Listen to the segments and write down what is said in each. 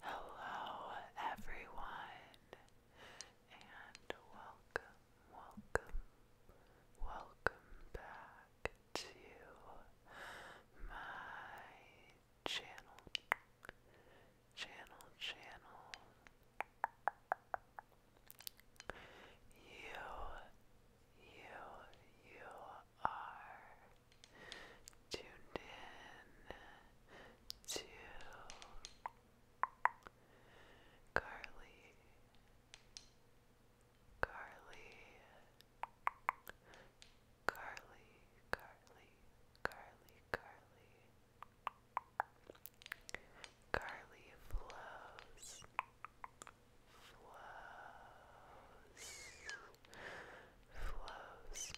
Hello, everyone, and welcome, welcome, welcome back to my channel, channel, channel. You, you, you are tuned in to Carly, Carly, Carly, Carly, Carly, Carly, Carly flows flows, flows. ASMR.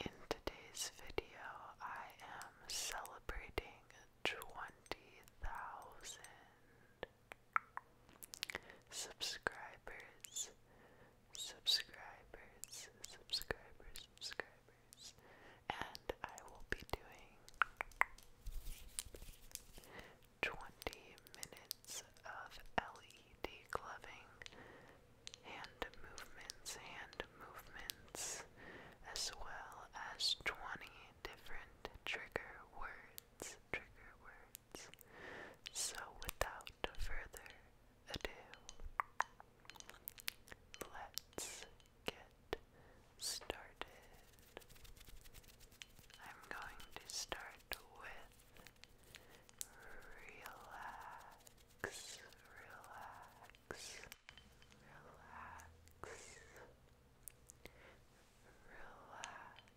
In today's video, I am celebrating 20,000 subscribers subscribers, subscribers, subscribers, and I will be doing 20 minutes of LED gloving, hand movements, hand movements, as well as 20 different trigger words, trigger words. So, without further ado, let's get started. I'm going to start with relax, relax, relax. Relax,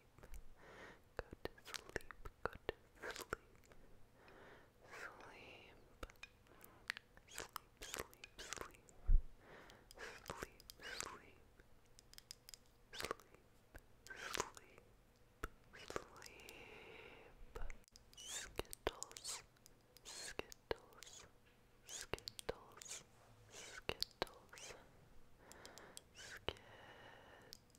sleep. Go to sleep. Go to sleep. Sleep. Sleep, sleep, sleep. Sleep, sleep. Sleep, sleep, sleep. Skittles, skittles, skittles, skittles, skittles,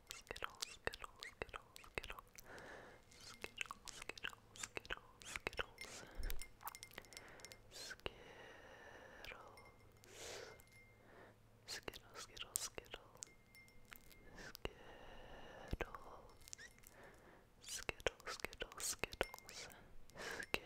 Skittle, Skittle, Skittle, Skittle, Skittle, Skittle, Skittle, Skittles, Skittles, Skittle, Skittle, Skittle, Skittles, Skittle, Skittle, Skittles, Skittles. Skittles,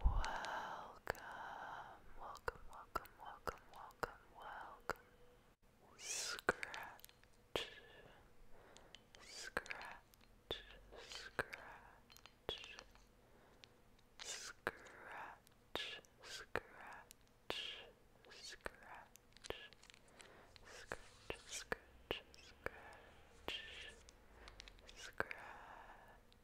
Welcome, welcome, welcome, welcome, welcome, welcome. Scratch, scratch, scratch, scratch, scratch, scratch. Scratch, scratch, scratch, scratch,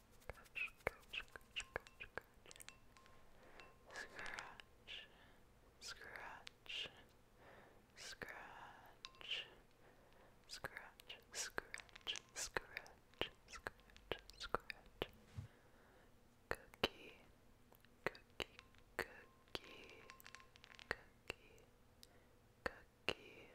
Scratch, scratch, scratch, scratch, scratch. Scratch, scratch, scratch, scratch, scratch, scratch, scratch. Cookie, cookie, cookie, cookie, cookie. Cookie,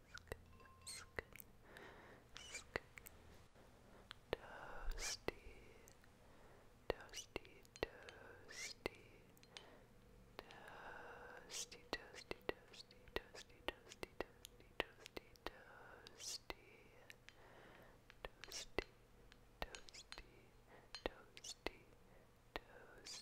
sk, sk, toasty, toasty, toasty, toasty, toasty, toasty, toasty, toasty, toasty, toasty, toasty, toasty, toasty, toasty, toasty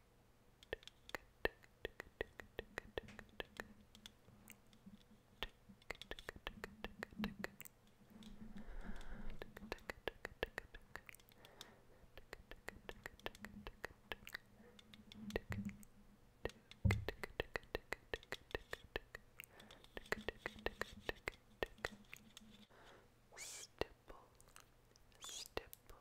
Stipple, stipple,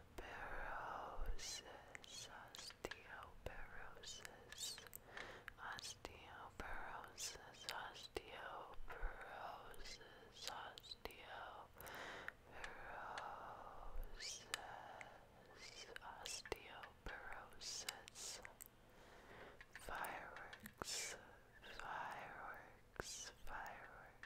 osteoporosis, osteoporosis, osteoporosis, osteoporosis, osteoporosis, osteoporosis. Fireworks, fireworks, fireworks.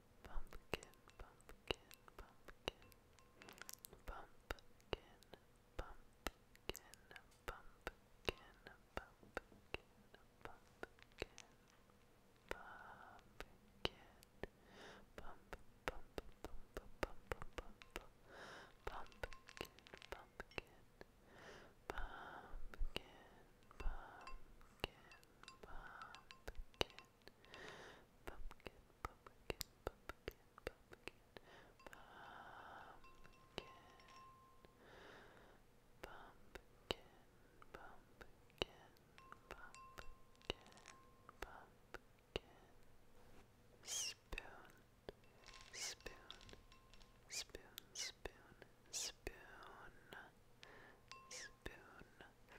pumpkin, pumpkin, pumpkin, pumpkin, pumpkin, pumpkin, pumpkin, pumpkin, pumpkin, pump, pump, pump, pump, pump, pumpkin, pumpkin. Pumpkin, pumpkin, pumpkin, pumpkin, pumpkin, pumpkin, pumpkin, pumpkin, pumpkin, pumpkin, pumpkin, pumpkin, spoon, spoon, spoon, spoon, spoon, spoon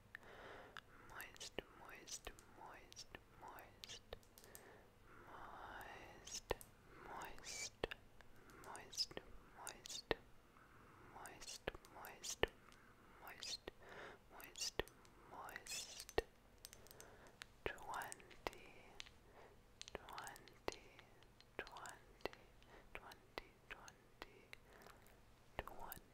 moist, moist, moist, moist, moist, moist, moist, moist, moist, moist, moist, moist, moist, twenty, twenty, twenty, twenty, twenty, twenty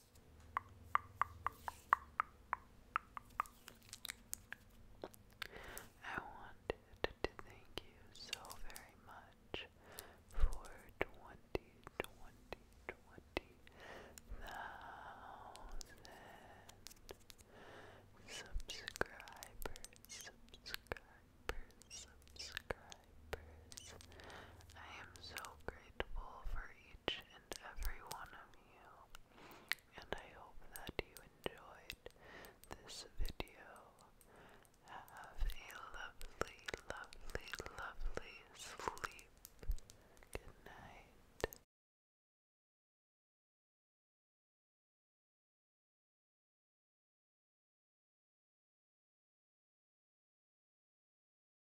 I wanted to thank you so very much for twenty, twenty, twenty thousand subscribers, subscribers, subscribers. I am so grateful for each and every one of you, and I hope that you enjoyed this video. Have a lovely, lovely, lovely sleep. Good night.